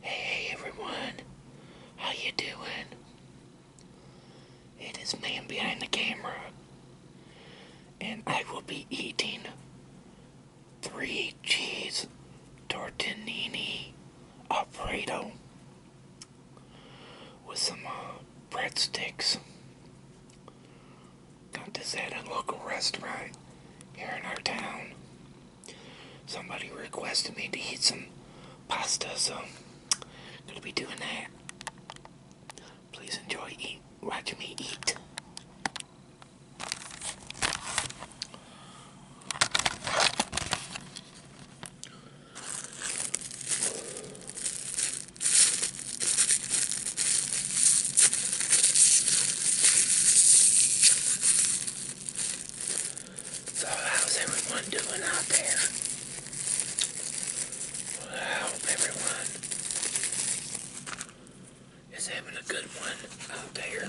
Hey everyone, how you doing? It is man behind the camera, and I will be eating three cheese tortellini alfredo with some uh, breadsticks. Got this at a local restaurant here in our town. Somebody requested me to eat some pasta, so I'm gonna be doing that. Please enjoy eat, watching me eat. So how's everyone doing out there? I hope everyone is having a good one out there.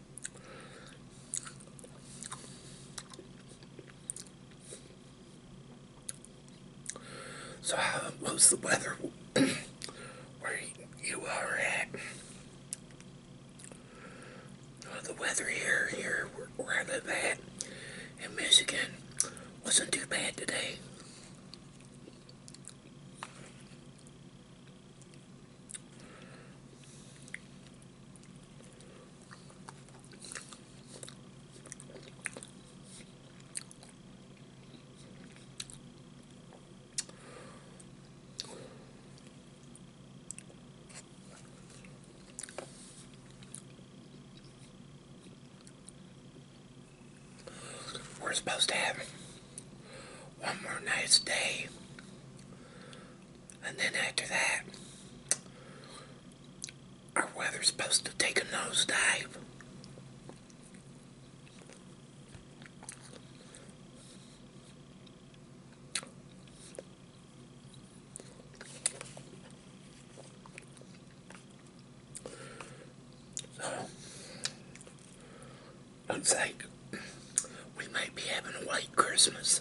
So, how was the weather where you are at? the weather here, here where I live at in Michigan, wasn't too bad today. We're supposed to have one more nice day. And then after that, our weather's supposed to take a nosedive. So, Looks like we might be having a white Christmas.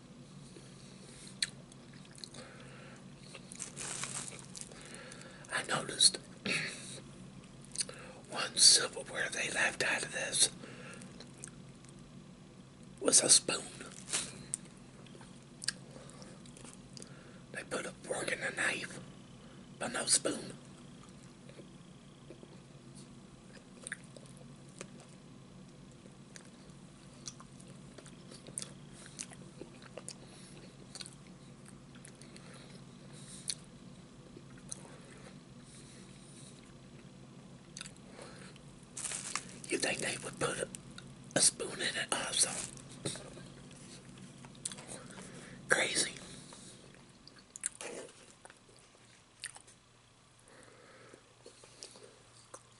I noticed one silverware they left out of this was a spoon. They put a fork and a knife, but no spoon. You think they would put a, spoon in it also? Oh, Crazy.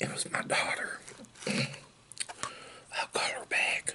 It was my daughter. I'll call her back.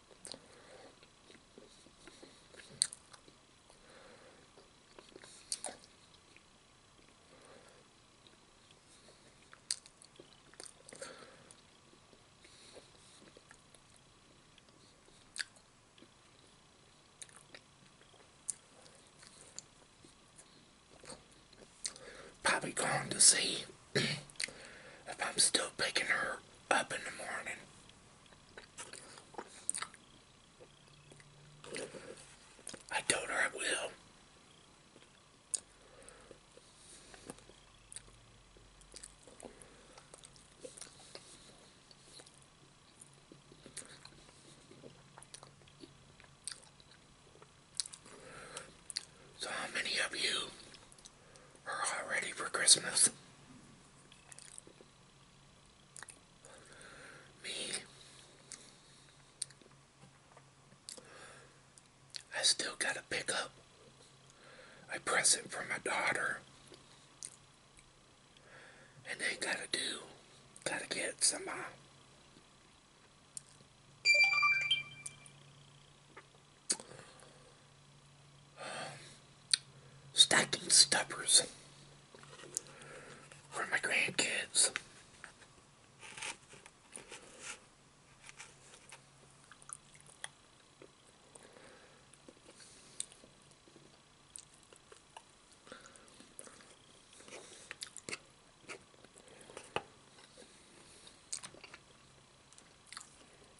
Probably going to see if I'm still picking her up in the morning. I told her I will. So, how many of you are all ready for Christmas. Me, I still got to pick up a present for my daughter. And they gotta do, gotta get some, uh, Stacking stubbers for my grandkids.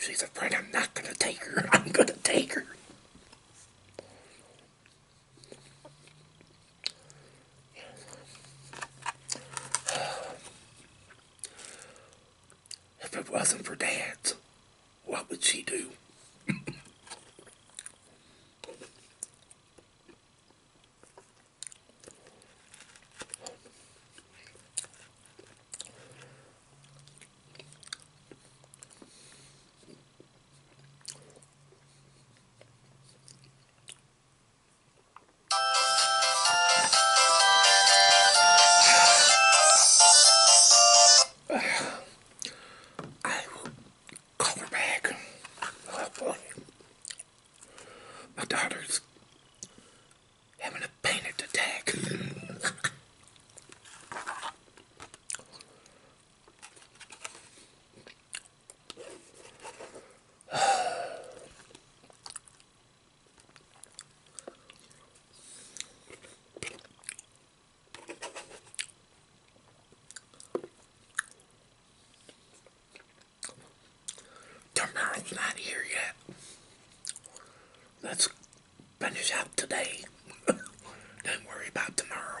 She's afraid I'm not going to take her. I'm going to take her. If it wasn't for dance, what would she do? I will call her back. My daughter's having a panic attack. Tomorrow's not here yet. Let's finish up today. Don't worry about tomorrow.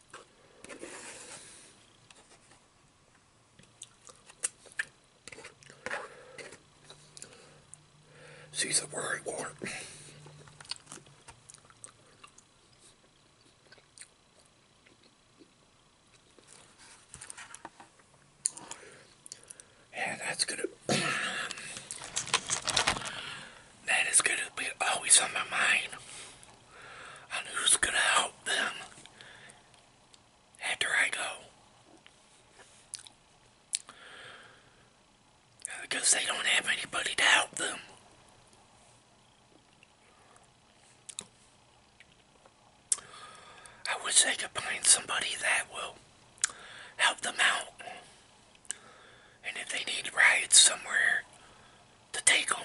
She's a worry wart. Yeah, that's gonna that is gonna be always on my mind. And who's going to help them after I go. Because they don't have anybody to help them. I wish they could find somebody that will help them out. And if they need rides somewhere, to take them.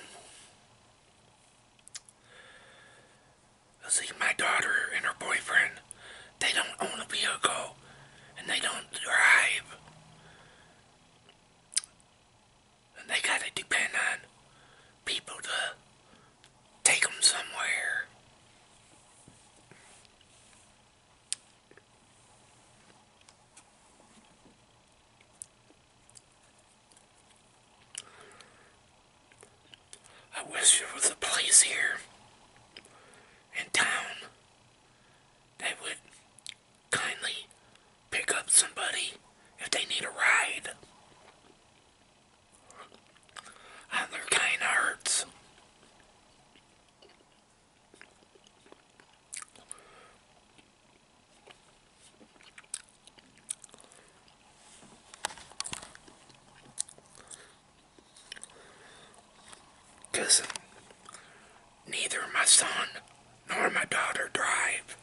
See, my daughter and her boyfriend, they don't own a vehicle and they don't drive. And they gotta depend on people to take them somewhere. I wish there was a place here in town that would kindly pick up somebody if they need a ride on their kind hearts. Because neither my son nor my daughter drive.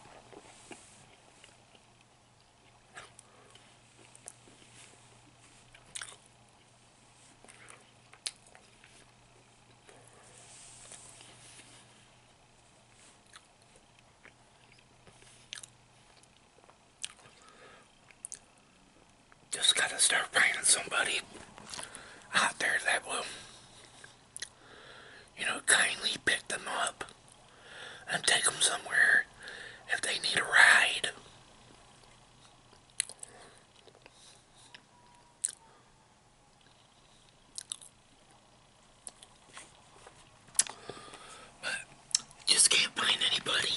Just gotta start finding somebody out there that will, you know, kindly pick them up and take them somewhere if they need a ride. But just can't find anybody.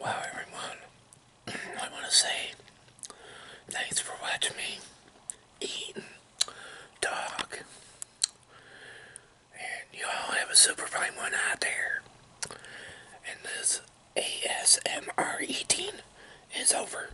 Wow, everyone, I want to say thanks for watching me eat, talk, and you all have a super fine one out there. And this ASMR eating is over.